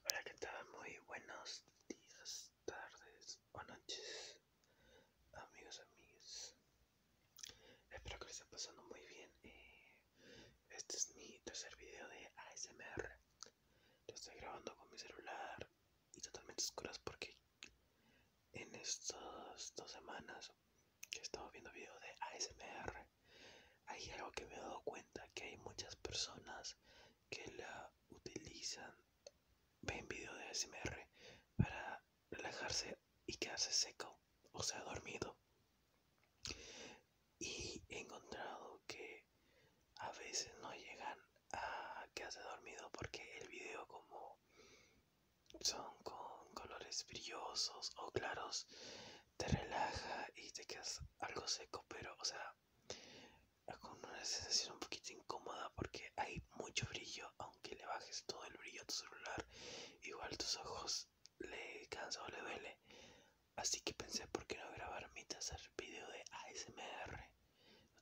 Hola, que tal? Muy buenos días, tardes o noches, amigos, amigos Espero que les esté pasando muy bien. Eh, este es mi tercer video de ASMR. Lo estoy grabando con mi celular y totalmente oscuras porque en estas dos semanas que he estado viendo videos de ASMR hay algo que me he dado cuenta que hay muchas personas que la utilizan ven video de ASMR para relajarse y quedarse seco o sea dormido y he encontrado que a veces no llegan a quedarse dormido porque el video como son con colores brillosos o claros te relaja y te quedas algo seco, pero, o sea, con una sensación un poquito incómoda porque hay mucho brillo, aunque le bajes todo el brillo a tu celular, igual tus ojos le cansan o le duele. Así que pensé, ¿por qué no grabar mi tercer video de ASMR?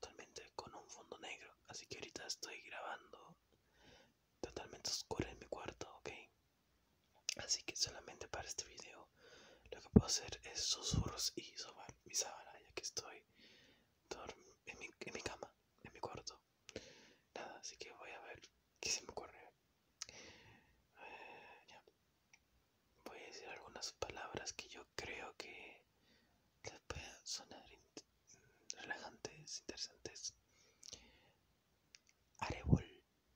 Totalmente con un fondo negro. Así que ahorita estoy grabando totalmente oscuro en mi cuarto, ¿ok? Así que solamente para este video lo que puedo hacer es susurros y sobar mi sábana ya que estoy en mi, cama, en mi cuarto. Nada, así que voy a ver qué se me ocurre. Eh, voy a decir algunas palabras que yo creo que les pueden sonar mm, relajantes, interesantes. Arebol,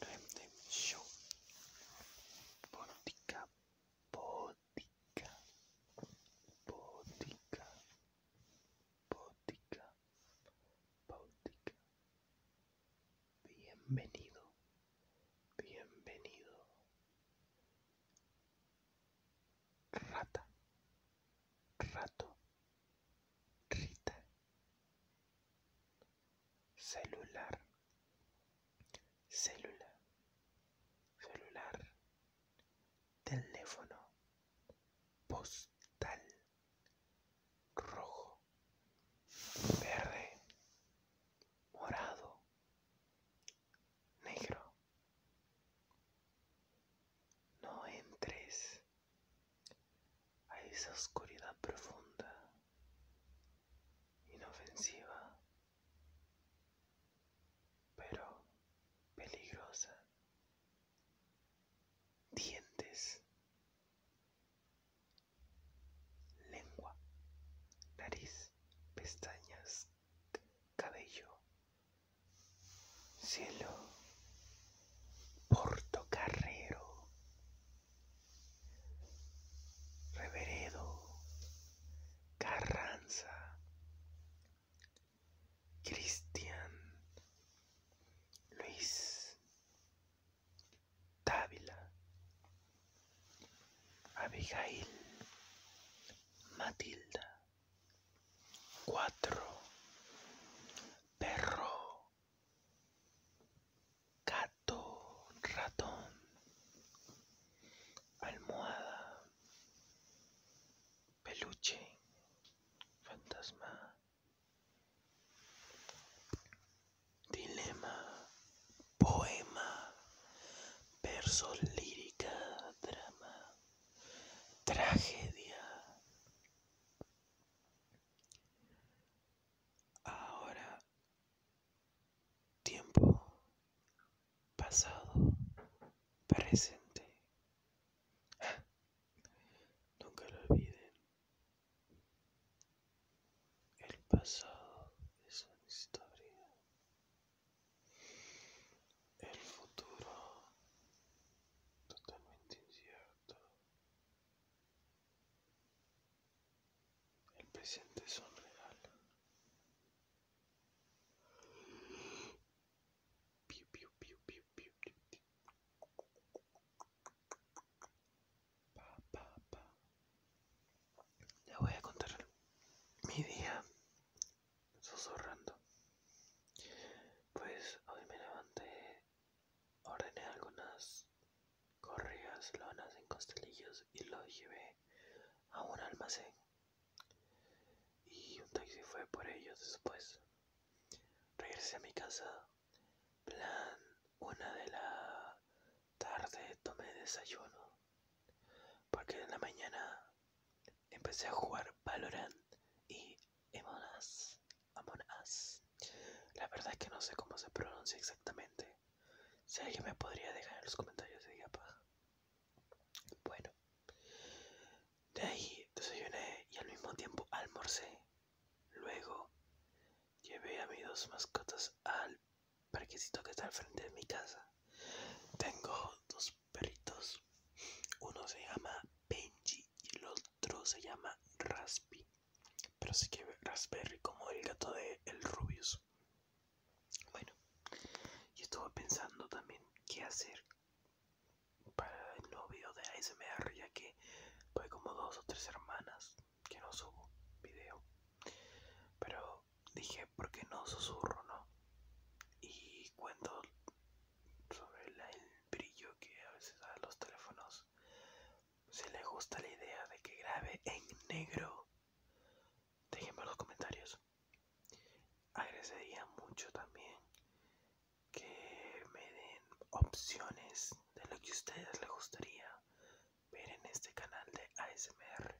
Remden Show. Botica, botica, botica, botica, botica. Bienvenido, bienvenido. Rata, rato, rita, celular, célula, celular, teléfono, postal, rojo, verde, morado, negro. No entres a esa oscuridad profunda, inofensiva, pero peligrosa. Dientes, lengua, nariz, pestañas, cabello, cielo, Carrero Reveredo, Carranza, Cristian, Luis, Távila, Abigail, Matilda, Cuatro, Perro, gato, ratón, almohada, peluche, fantasma, dilema, poema, verso lírica, drama, tragedia, Ahora, tiempo, pasado, presente. Nunca lo olviden. El pasado es una historia. El futuro totalmente incierto. El presente es un regalo. Piu, piu, piu, piu, piu, piu. Pa, pa, pa. Le voy a contar mi día susurrando. Pues hoy me levanté, ordené algunas correas, lonas en costelillos y lo llevé a un almacén. Y un taxi fue por ellos después. Regresé a mi casa, plan una de la tarde tomé desayuno. Porque en la mañana empecé a jugar Valorant y Emonas Amonas La verdad es que no sé cómo se pronuncia exactamente. Si alguien me podría dejar en los comentarios, de paja. Bueno, de ahí desayuné y al mismo tiempo almorcé. Luego llevé a mis dos mascotas al parquecito que está al frente de mi casa. Tengo dos perritos. Uno se llama Benji y el otro se llama Raspi. Pero sí que Raspberry como el gato de el Rubius. Bueno, yo estuve pensando también qué hacer para el nuevo video de ASMR ya que fue como dos o tres hermanas que no subo video. Pero dije, ¿por qué no susurro, no? Y cuando sobre el brillo que a veces dan los teléfonos. Si les gusta la idea de que grabe en negro, déjenme en los comentarios. Agradecería mucho también que me den opciones de lo que a ustedes les gustaría ver en este canal de ASMR.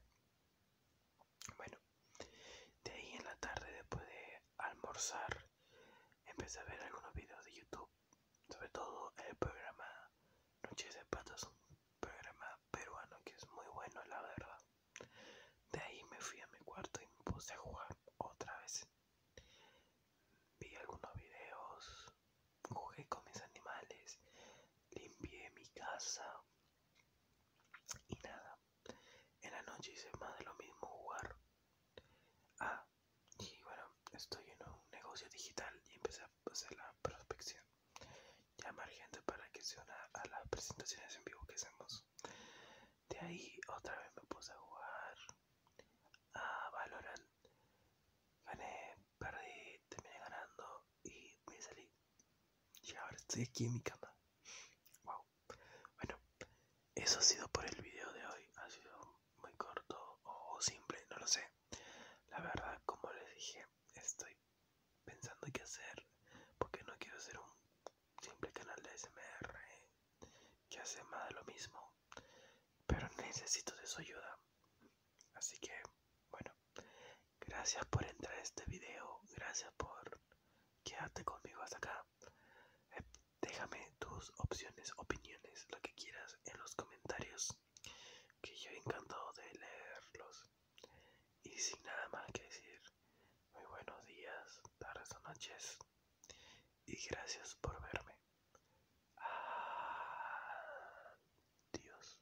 Bueno, de ahí en la tarde, después de almorzar, empecé a ver algunos videos de YouTube, sobre todo el programa Noches de Patos, un programa peruano que es muy bueno, la verdad. De ahí me fui a mi cuarto y me puse a jugar otra vez. Vi algunos videos, jugué con mis animales, limpié mi casa y nada. En la noche hice más de lo mismo jugar. Ah, y bueno, estoy en un negocio digital y empecé a hacer la prospección. Llamar gente para que se una a las presentaciones en vivo que hacemos. De ahí otra vez me puse a jugar a ah, Valorant. Gané, perdí, terminé ganando y me salí. Y ahora estoy aquí en mi cama. Wow. Bueno, eso ha sido por el video de hoy. Ha sido muy corto o simple, no lo sé. La verdad, como les dije, estoy pensando qué hacer porque no quiero hacer un simple canal de SMR eh, que hace más de lo mismo. Pero necesito de su ayuda. Así que, bueno, Gracias por entrar a este video. Gracias por quedarte conmigo hasta acá. Eh, déjame tus opciones, opiniones, lo que quieras en los comentarios. Que yo encantado de leerlos. Y sin nada más que decir, muy buenos días, tardes o noches. Y gracias por verme. Adiós.